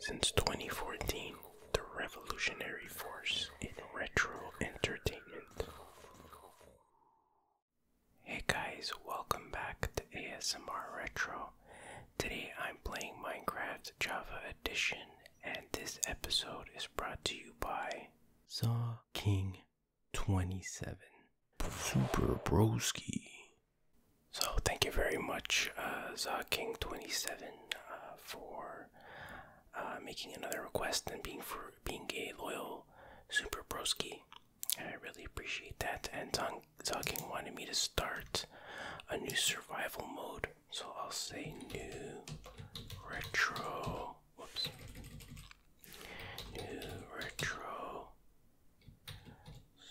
Since 2014, the revolutionary force in retro entertainment. Hey guys, welcome back to ASMR Retro. Today I'm playing Minecraft Java Edition, and this episode is brought to you by Saw King 27 Super Broski. So thank you very much, uh, ZaKing27, uh, for uh, making another request and being for being a loyal super broski. I really appreciate that. And Zaking wanted me to start a new survival mode, so I'll say new retro. Whoops. New retro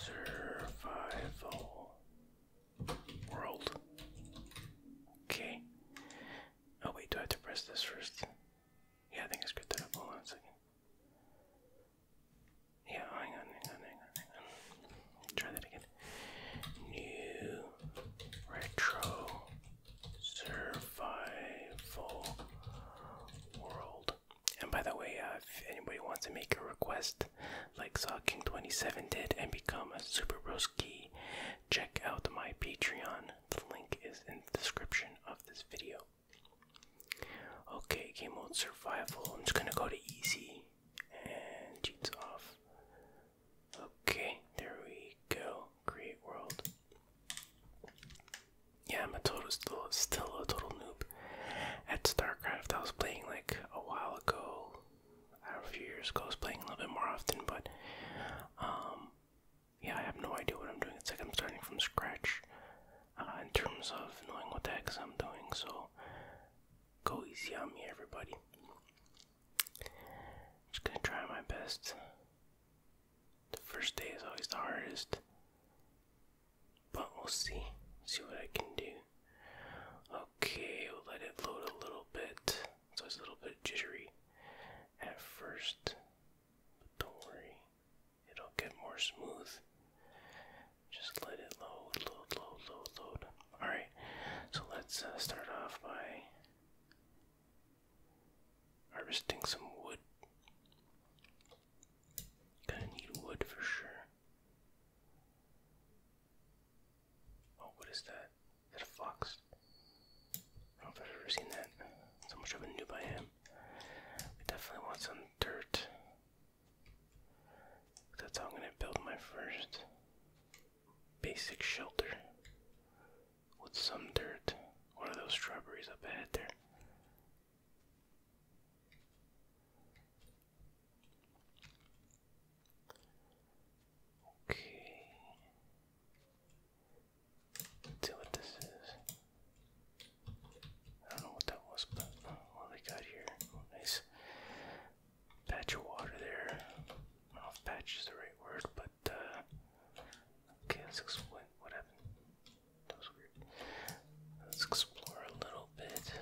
survival world. Okay. Oh wait, do I have to press this first? Yeah, I think it's good to hold on a second. Yeah, hang on, hang on, hang on, hang on. Try that again. New retro survival world. And by the way, uh, if anybody wants to make a request, like saw king 27 did and become a super broski, check out my Patreon. The link is in the description of this video. Okay, game mode survival. I'm just gonna go to easy and cheats off. Okay, there we go. Create world. Yeah, I'm a total still still a total noob at StarCraft. I was playing like a while ago, I don't know, a few years ago. I was playing a little bit more often, but um, yeah, I have no idea what I'm doing. It's like I'm starting from scratch uh, in terms of knowing what the heck I'm doing. So go easy on me, everybody. just gonna try my best. The first day is always the hardest. But we'll see. See what I can do. Okay, we'll let it load a little bit. So it's a little bit jittery at first. But don't worry, it'll get more smooth. Just let it load, load, load, load, load. Alright, so let's uh, start off by harvesting some wood. Gonna need wood for sure. Oh, what is that? Is that a fox? I don't know if I've ever seen that. So much of a noob I I definitely want some dirt. That's how I'm gonna build my first basic shelter with some dirt. One of those strawberries up ahead there. Okay. see what this is. I don't know what that was, but oh, got here. Oh, nice patch of water there. I don't know if patch is the right word, but uh, okay, let's explain what happened. That was weird. Let's explore a little bit.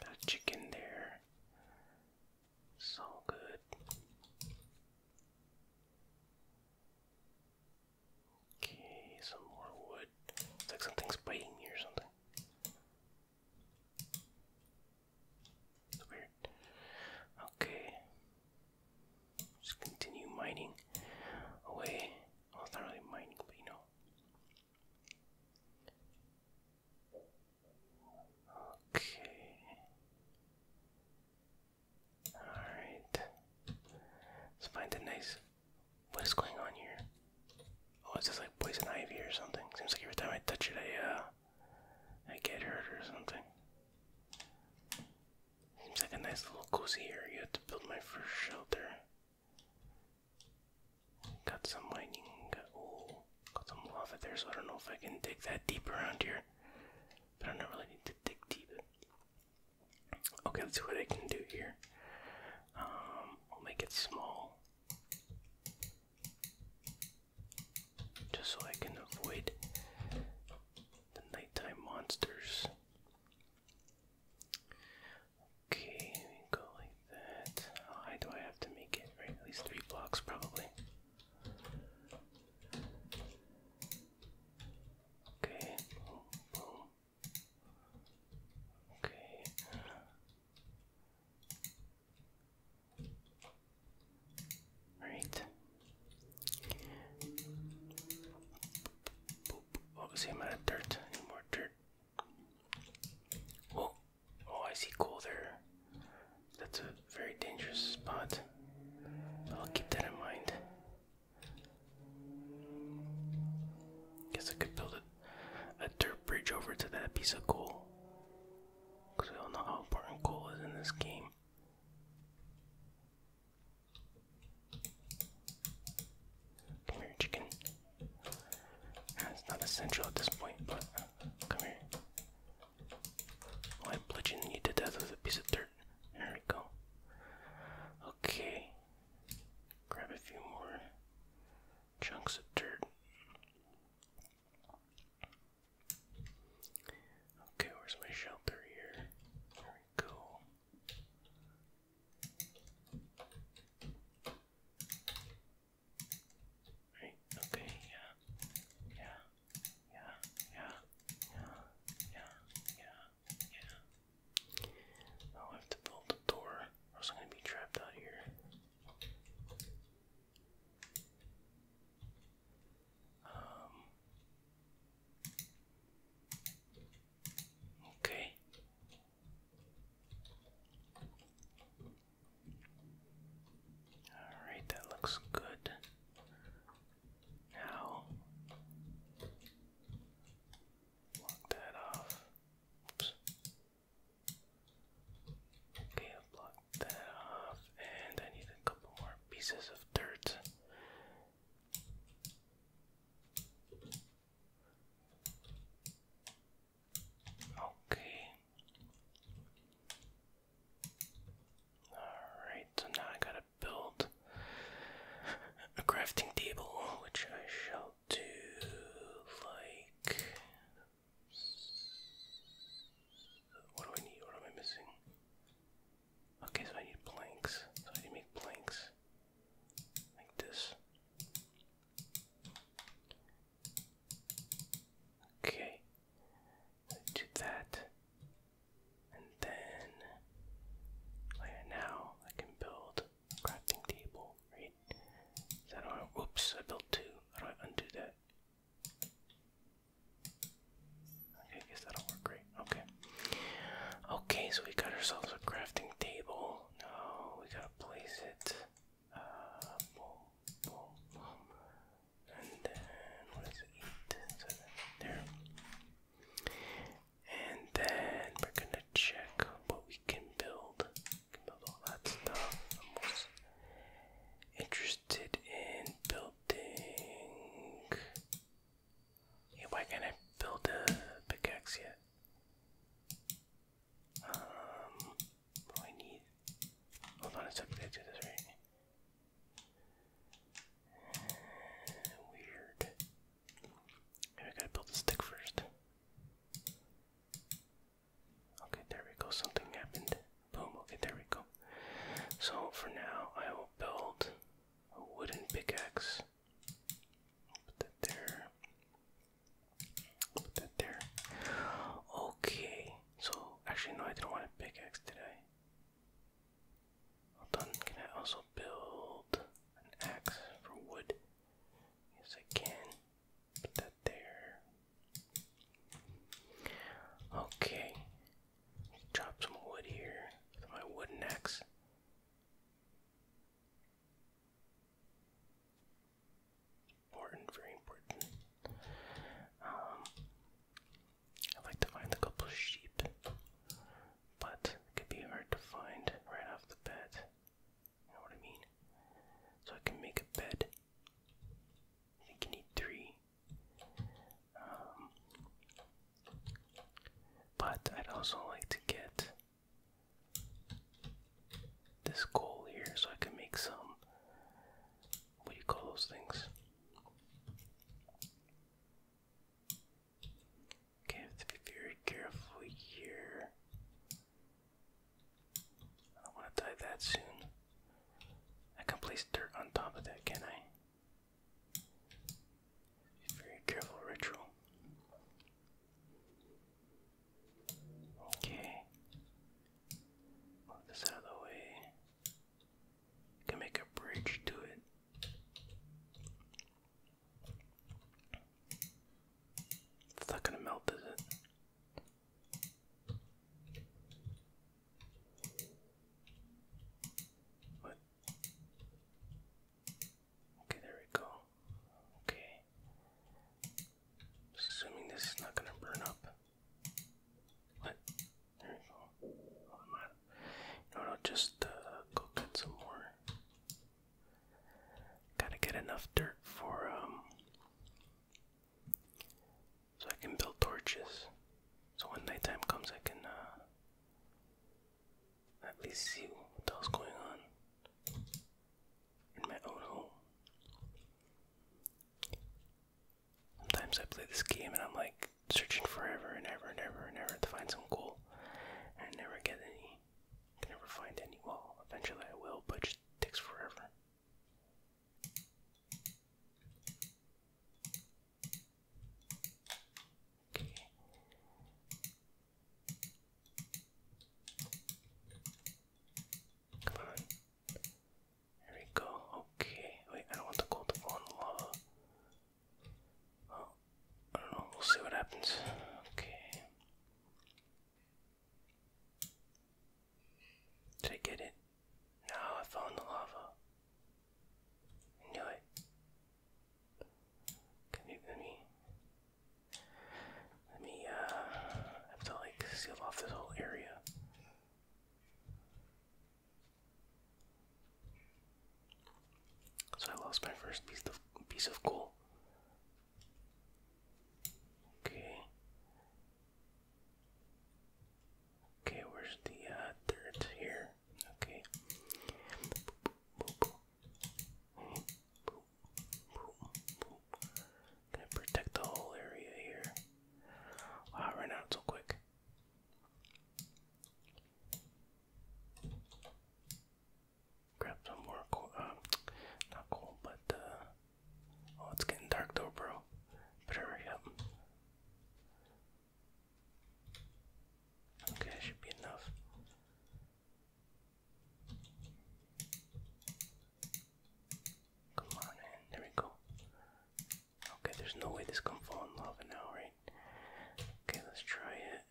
That chicken there. So good. Okay, some more wood. It's like something's biting me or something. weird. Okay. Just continue mining away. Oh, well, oh, it's not really mining, but you know, Okay. Alright. Let's find a nice. What is going on here? Oh, is this like poison ivy or something? Seems like every time I touch it, I, uh. I get hurt or something. Seems like a nice little cozy area to build my first shelter. Got some lightning. Got, oh, got some lava there, so I don't know if I can dig that deep around here. But I don't really need to dig deep. Okay, let's see what I can do here. Um, I'll make it small. Just so I can avoid the nighttime monsters. Okay, go like that. How high do I have to make it? Right, at least three blocks probably. Okay, Okay. Right. Boop. Oh, see, I'm out of dirt. Any more dirt? Whoa. Oh, I see coal there. That's a very dangerous spot. I'll keep that in mind. Guess I could build a, a dirt bridge over to that piece of coal. Because we all know how important coal is in this game. Come here, chicken. It's not essential at this point, but come here. Why well, bludgeon you to death with a piece of dirt? There we go. Okay. Grab a few more chunks of dirt. Okay, where's my shelter here? There we Right, okay, yeah, yeah, yeah, yeah, yeah, yeah, yeah, yeah. I'll have to build a door, or else I'm gonna be trapped out here. Um Okay. Alright, that looks good. Now, block that off. Oops. Okay, block that off, and I need a couple more pieces of dirt. Okay. Alright, so now I gotta build a crafting table, which I shall do like. What do I need? What am I missing? Okay, so I need planks. So I need to make planks like this. Okay, do that, and then now I can build crafting table, right? So I do oops, I built two. How do I undo that? Okay, I guess that'll work great. Okay. Okay, so we got ourselves a crafting table. No, we gotta place it. Uh, and then, what is it? Eight, there. And then we're gonna check what we can build. can build all that stuff. I'm most interested in building. Yeah, why can't build a pickaxe yet? Um, I need. Hold on a second, did I do this right? weird. Maybe I gotta build the stick first. Okay, there we go. Something happened. Boom. Okay, there we go. So for now, I will build a wooden pickaxe I'll put that there. put that there. Okay. So actually, no, I didn't want a pickaxe, did I? Hold on. Can I also build an axe for wood? Yes, I can. Put that there. Okay. Drop some wood here with my wooden axe. Important, very important. Um, I'd like to find a couple sheep, but it could be hard to find right off the bat. You know what I mean? So I can make a bed. I think you need three. Um, but I'd also like to get this coal here so I can make some. What do you call those things? Okay, have to be very careful here. I don't want to die that soon. I can place dirt on top of that, can I? Be very careful, ritual. Okay. Move this out of the way. can make a bridge to it. It's not gonna melt, is it? What? Okay, there we go. Okay. Assuming this is not gonna burn up. What? There we go. Oh, no, no, just uh, go cut some more. Gotta get enough dirt for um, so I can build torches. So when nighttime comes, I can uh, at least see what the hell's going on in my own home. Sometimes I play this game and I'm like searching forever and ever and ever to find some goal, and never get any. can never find any. Well, eventually I will, but it takes forever. Okay. Come on. There we go. Okay. Wait, I want the gold to fall the lava. Well, I don't know. We'll see what happens. Okay. Did I get it? No, I fell the lava. knew it. Can you me? Let me, uh, I have to like seal off this whole area. So I lost my first piece of piece of coal. Okay. Okay, where's the uh, here? Okay. Gonna protect the whole area here. Wow, I ran so quick. Grab some more coal, uh, not coal, but, uh, oh, it's getting dark though, bro. Better hurry up. Okay, should be enough. Come on, man. There we go. Okay, there's no way this can fall in lava now, right? Okay, let's try it.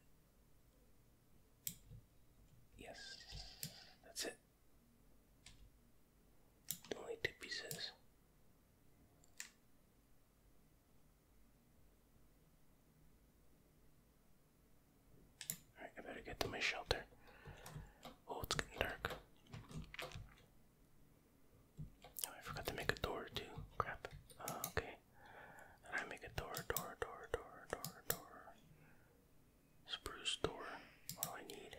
Yes, that's it. Only two pieces. Alright, I better get to my shelter. Oh, it's getting dark. Oh, I forgot to make a door too. Crap. Uh, okay. And I make a door, door, door, door, door, door. Spruce door. What I need?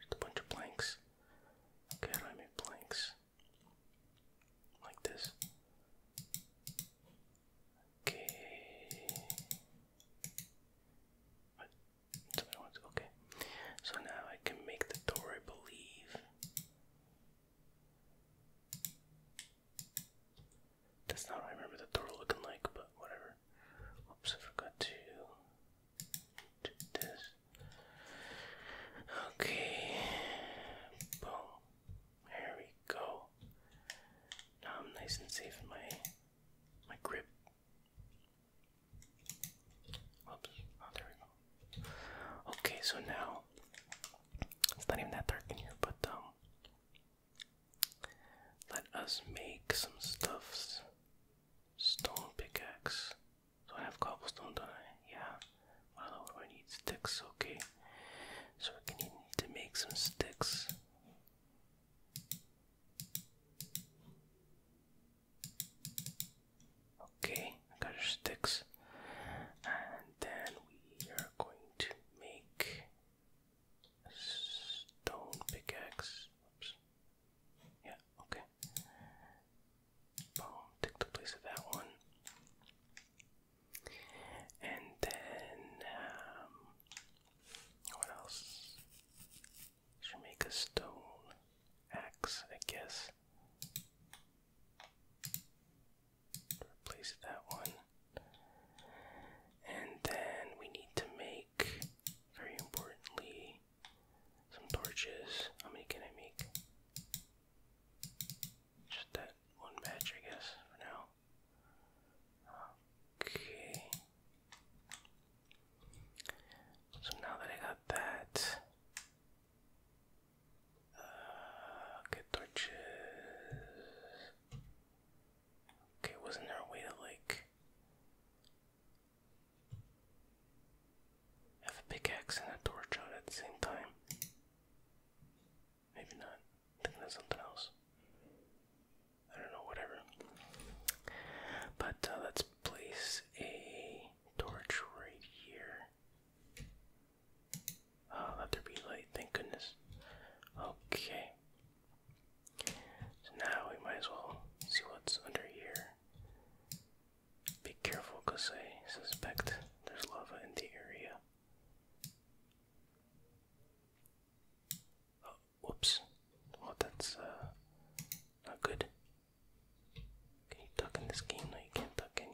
Just a bunch of planks. Okay, I make planks? Like this. Okay. Okay. So now I can make the door, believe. That's not remember the door looking like, but whatever. Oops, I forgot to do this. Okay. Boom. There we go. Now I'm nice and safe in my my grip. Oops. Oh, there we go. Okay, so now it's not even that dark in here, but um, let us make some stuffs. Stone pickaxe. So I have cobblestone, don't I? Yeah. Well, what I need? Sticks. Okay. So we're gonna need to make some sticks. Okay, got our sticks. And then we are going to make stone pickaxe. Yeah, okay. Boom, take the place of that one. And then, um, what else? Should make a stone axe, I guess. Replace that one. And then we need to make, very importantly, some torches. How many can I make? Just that one batch, I guess, for now. Okay. So now that I got that, get uh, torches. Okay, wasn't there a way to like have a pickaxe and a torch out at the same time? Maybe not. I'm thinking of something else. I don't know, whatever. But uh, let's place a torch right here. Uh, let there be light, thank goodness. Okay. So now we might as well see what's under here. Be careful because I suspect there's lava in the area. Oh, whoops. Well, oh, that's uh, not good. Can you duck in this game? No, you can't duck, can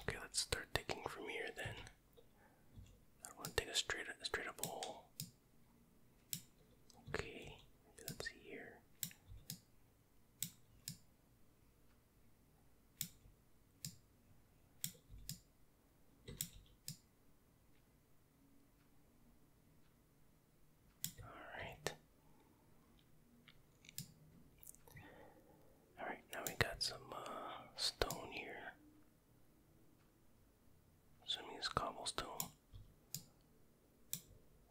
Okay, let's start taking from here then. I want to take a straight, a straight up hole. Okay, that's here. All right. All right, now we got some uh, stone here. Assuming it's cobblestone.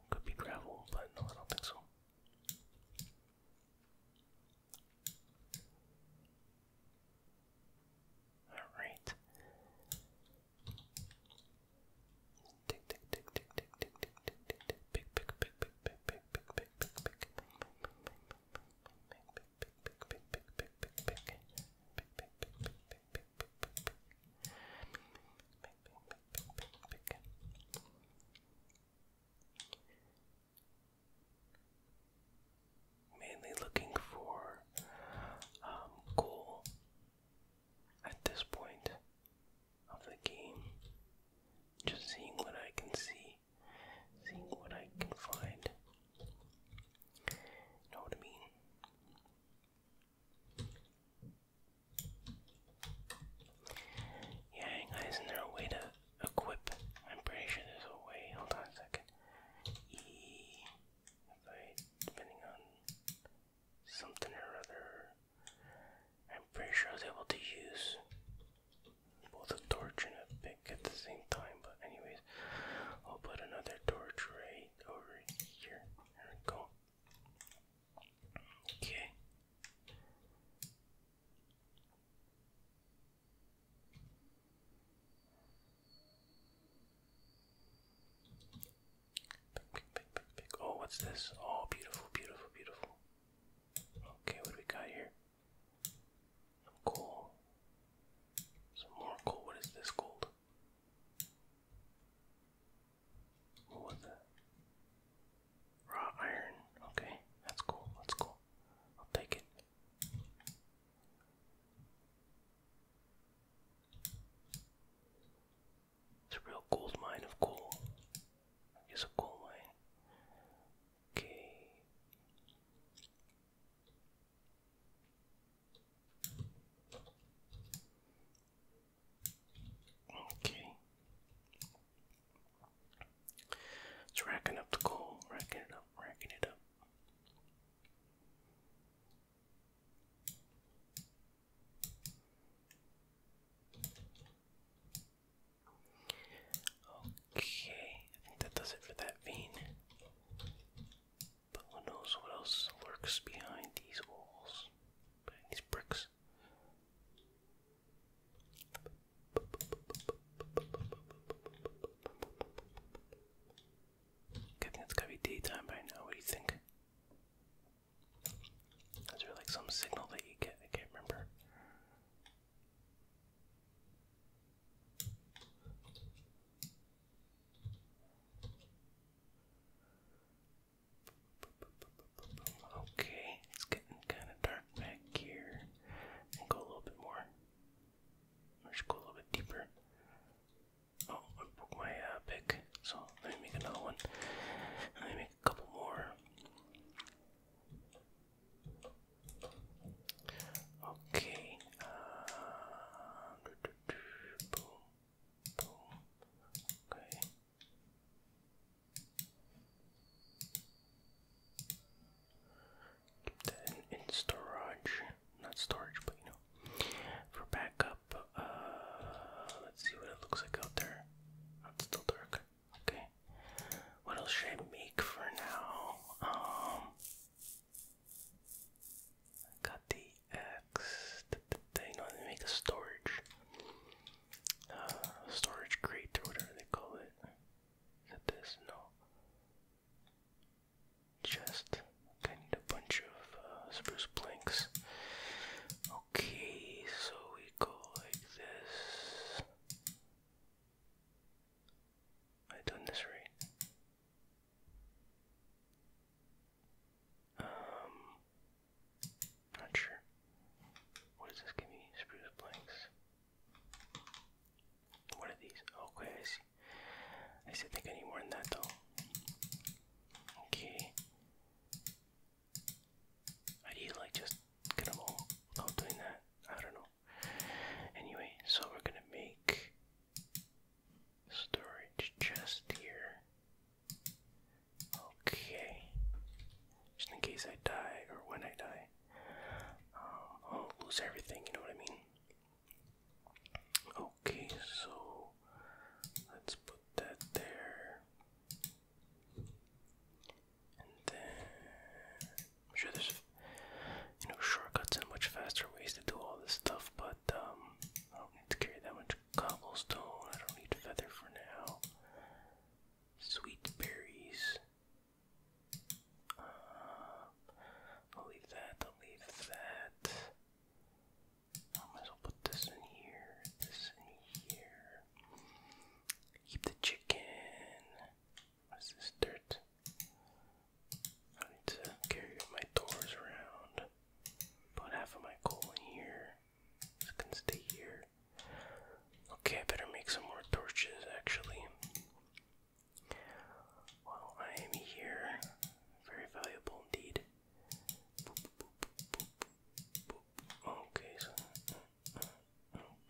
Could be gravel, but no, I don't think so. All right. Tick Mainly looking for um, at this point of the game. Just seeing what I can see, seeing what I can find. know what I mean? Yeah, guys, is there a way to equip. I'm pretty sure there's a way. Hold on a second. E. I, depending on something or other, I'm pretty sure I was able to use both a torch and a pick at the same time. But anyways, I'll put another torch right over here. There we go. Okay. Oh, what's this? Oh, beautiful, beautiful, beautiful. Okay, what do we got here? Some coal. Some more coal. What is this gold? What was that? Raw iron. Okay, that's cool. That's cool. I'll take it. It's a real gold mine of coal. It's a coal mine. Okay. Okay. It's racking up the coal, racking it up, racking it up. Okay, I think that does it for that vein. But who knows what else lurks behind these walls, behind these bricks. Good thing it's gotta be daytime by now, what do you think? Is there like some signal that you get? I can't remember. Okay, it's getting kind of dark back here and go a little bit more. Or just go a little bit deeper. Oh, I broke my uh, pick, so let me make another one. Let me make a couple more. Okay. Uh, Keep that in, storage. Not storage, but you know. For backup, uh, let's see what it looks like out there. Oh, still dark. Okay. What else should I make for now? Um, got the X. you know, make a storage, uh, storage crate or whatever they call it there's no chest. I need a bunch of uh, spruce planks. Okay, so we go like this. I done this right. Um, not sure. What this give me? Spruce planks. What are these? Okay, I see. I still think I need more than that though. Okay. I need like just get them all without doing that. I don't know. Anyway, so we're gonna make storage chest here. Okay. Just in case I die or when I die. Um, I will lose everything, you know what I mean? Okay, so let's put that there. And then I'm sure there's you know shortcuts and much faster ways to do all this stuff, but um I don't need to carry that much cobblestone. I don't need feather for now. Sweet berries. Uh, I'll leave that, I'll leave that. I might as well put this in here, this in here. Keep the chicken. What's this dirt? I need to carry my doors around. Put half of my coal in here. This can stay here. Okay, I better make some more torches actually. While I am here, very valuable indeed. Okay, so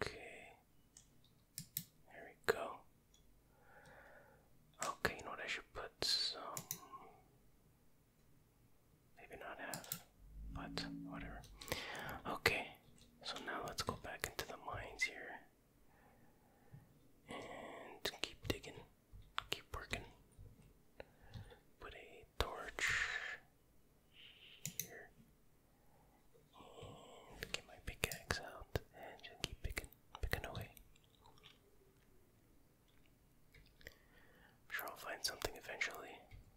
okay. There we go. Okay, you know what? I should put some. Maybe not half, but whatever. Okay, so now let's go back into the mines here and keep digging, keep working. Put a torch here and get my pickaxe out and just keep picking, picking away. sure I'll find something eventually.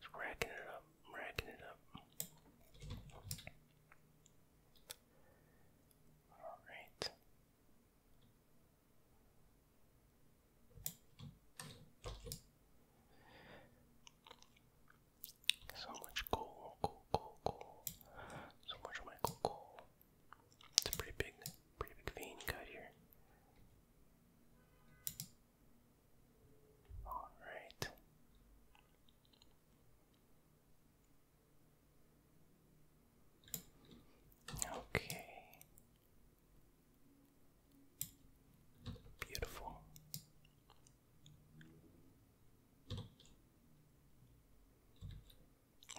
Just racking it up, racking it up. All right. So much coal, coal, coal, coal. So much coal, coal. It's a pretty big, pretty big vein cut here. All right. Okay. Beautiful.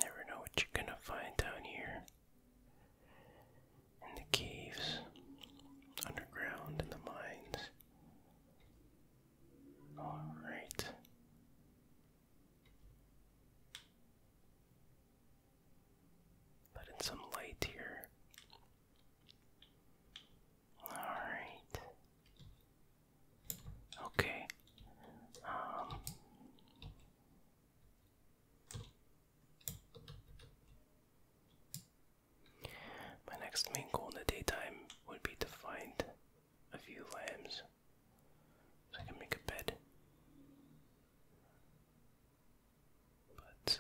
Never know what you're gonna find down here in the caves, underground, in the mines. All right. Put in some light here. All right. Okay. Um, my next main goal in the daytime would be to find a few lambs so I can make a bed. But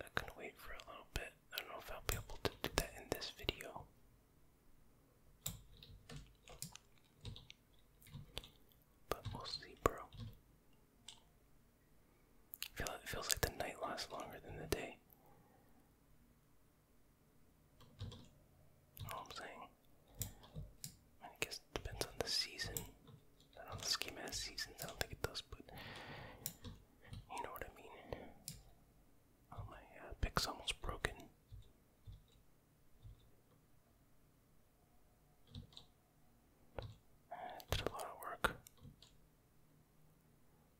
that can wait for a little bit. I don't know if I'll be able to do that in this video. But we'll see, bro. I it feels like the night lasts longer than the day. All I'm saying. I guess depends on the season. I don't know, this game has seasons, I don't think it does, but you know what I mean. Oh, my pick's almost broken. did a lot of work.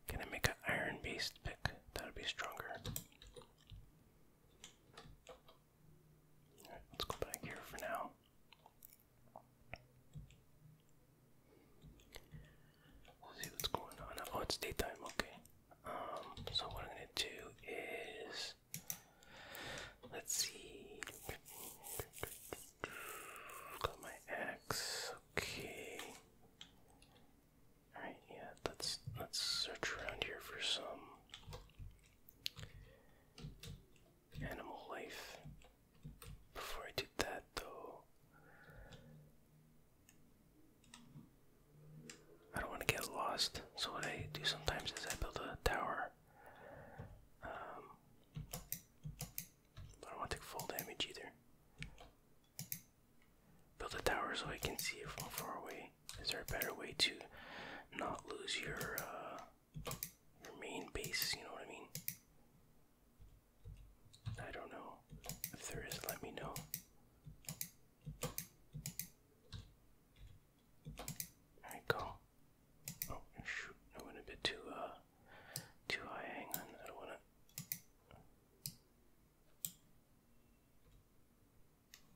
Can I make an iron based pick? That would be stronger. let's go back here for now. see what's going on. Oh, it's daytime, okay. Um, so what I'm gonna do is let's see. Got my axe. Okay. Alright, yeah, let's let's search around here for some animal life. Before I do that though. I don't want to get lost, so what I do sometimes is I build a tower. Um, I don't want to take full damage either. Build a tower so I can see it from far away. Is there a better way to not lose your uh, your main base? You know what I mean? I don't know. If there is, let me know. Alright, go. Oh, shoot. I went a bit too uh, too high. Hang on, I don't want to.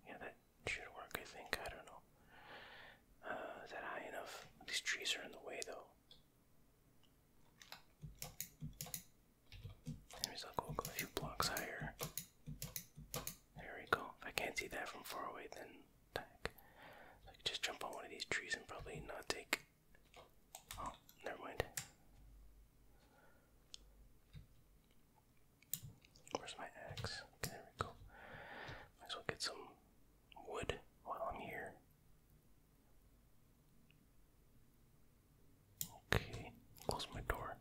Yeah, that should work, I think. I don't know. Uh, is that high enough? These trees are in the way, though. Anyways, I'll go a few blocks higher. There we go. If I can't see that from far away, then I could just jump on one of these trees and probably not take Oh, never mind. Where's my axe? there we go. Might as well get some wood while I'm here. Okay, close my door.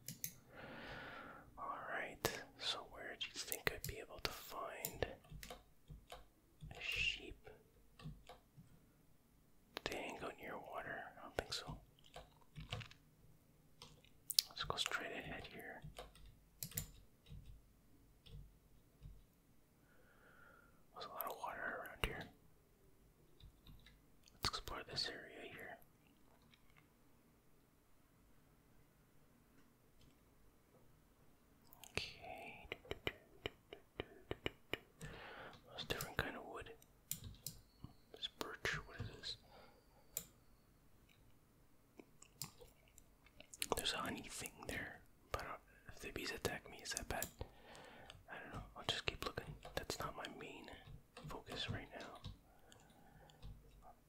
Alright, so where do you think I'd be able to find a sheep. They ain't go near water. I don't think so. Let's go straight ahead here. There's a lot of water around here. Let's explore this area here. Okay. That's different kind of wood. It's birch. What is this? There's a honey thing there, but uh, if the bees attack me, is that bad? I don't know. I'll just keep looking. That's not my main focus right now.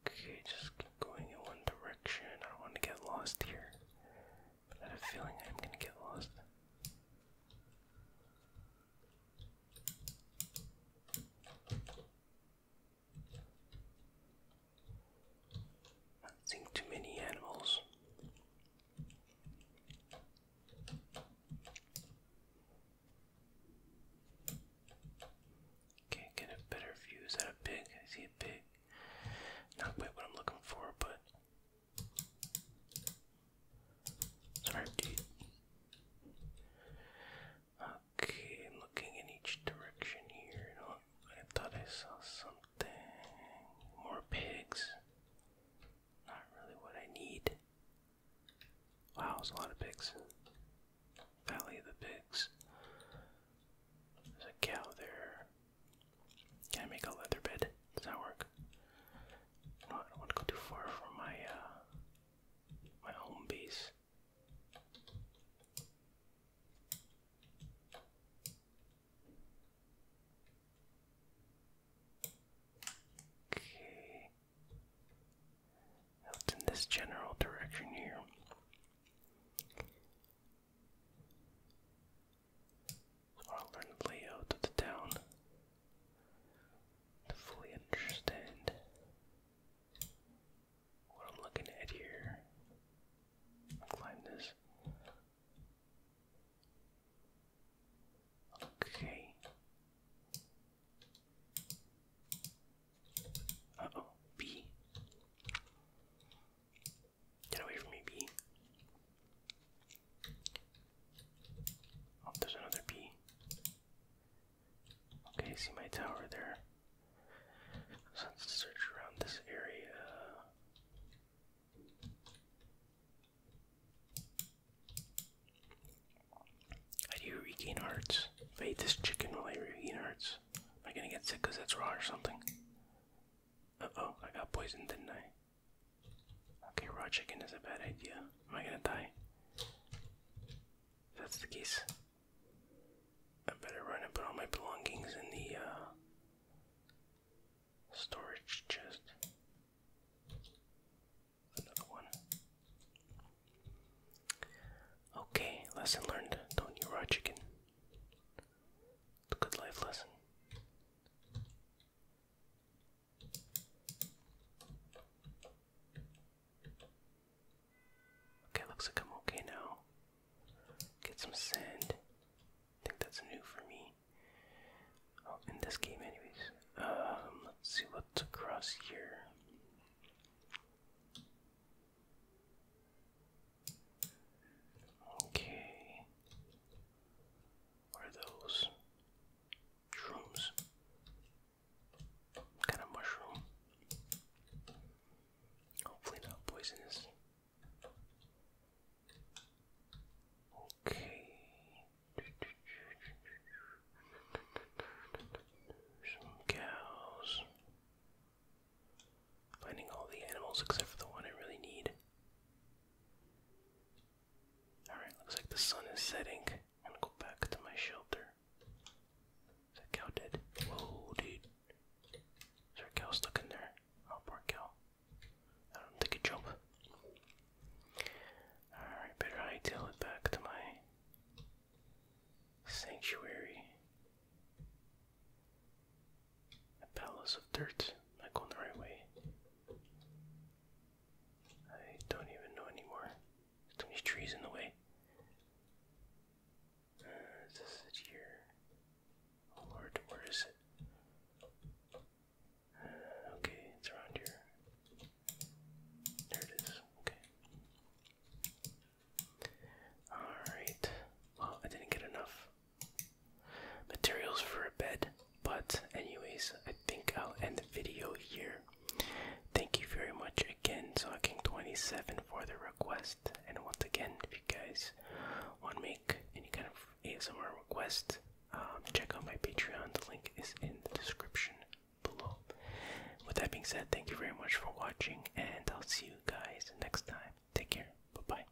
Okay, just keep going in one direction. I don't want to get lost here. I have a feeling I'm gonna get lost. Not seeing too many animals. Okay, get a better view. Is that a pig? I see a pig. Not quite what I'm looking for, but Sorry, Okay, i looking in each direction here. I thought I saw something. More pigs. Not really what I need. Wow, there's a lot of pigs. Valley of the pigs. There's a cow there. Can I make a leather bed? Does that work? I don't want to go too far from my uh, my home base. Okay. It's in this general direction here or learn the layout of the town to fully understand what I'm looking at here. climb this. Okay. oh, B. Get away from me, bee. Oh, there's another bee. Okay, see my tower there. let's search around this area. I do regain hearts. If I eat this chicken, while I regain hearts? Am I gonna get sick because that's raw or something? Uh oh, I got poisoned, didn't I? Okay, raw chicken is a bad idea. Am I gonna die? If that's the case, I better run and put all my belongings in the uh, storage chest. Another one. Okay, lesson learned. Don't eat raw chicken. good life lesson. Okay, looks like I'm okay now. Get some sand. I think that's new for me. Oh, in this game, anyways. Um, let's see what to cross here. Okay. What are those? Shrooms. kind of mushroom. Hopefully not poisonous. Okay. Some cows. Finding all the animals except for the one I really need. Alright, looks like the sun is setting. gonna go back to my shelter. Is that cow dead? Whoa, dude. Is there cow stuck in there? Oh, poor cow. I don't think it jump. Alright, better hightail it back to my sanctuary. A palace of dirt. Am I going the right way? I don't even know anymore. There's too many trees in the way. Uh, is this here? Oh lord, where is uh, okay, it's around here. There it is. Okay. Alright. Well, I didn't get enough materials for a bed. But, anyways, I think I'll end the video here. Thank you very much again, Socking27, for the request. And once again, if you guys want to make any kind of ASMR request, um, check out my Patreon. The link is in the description below. With that being said, thank you very much for watching, and I'll see you guys next time. Take care. Bye bye.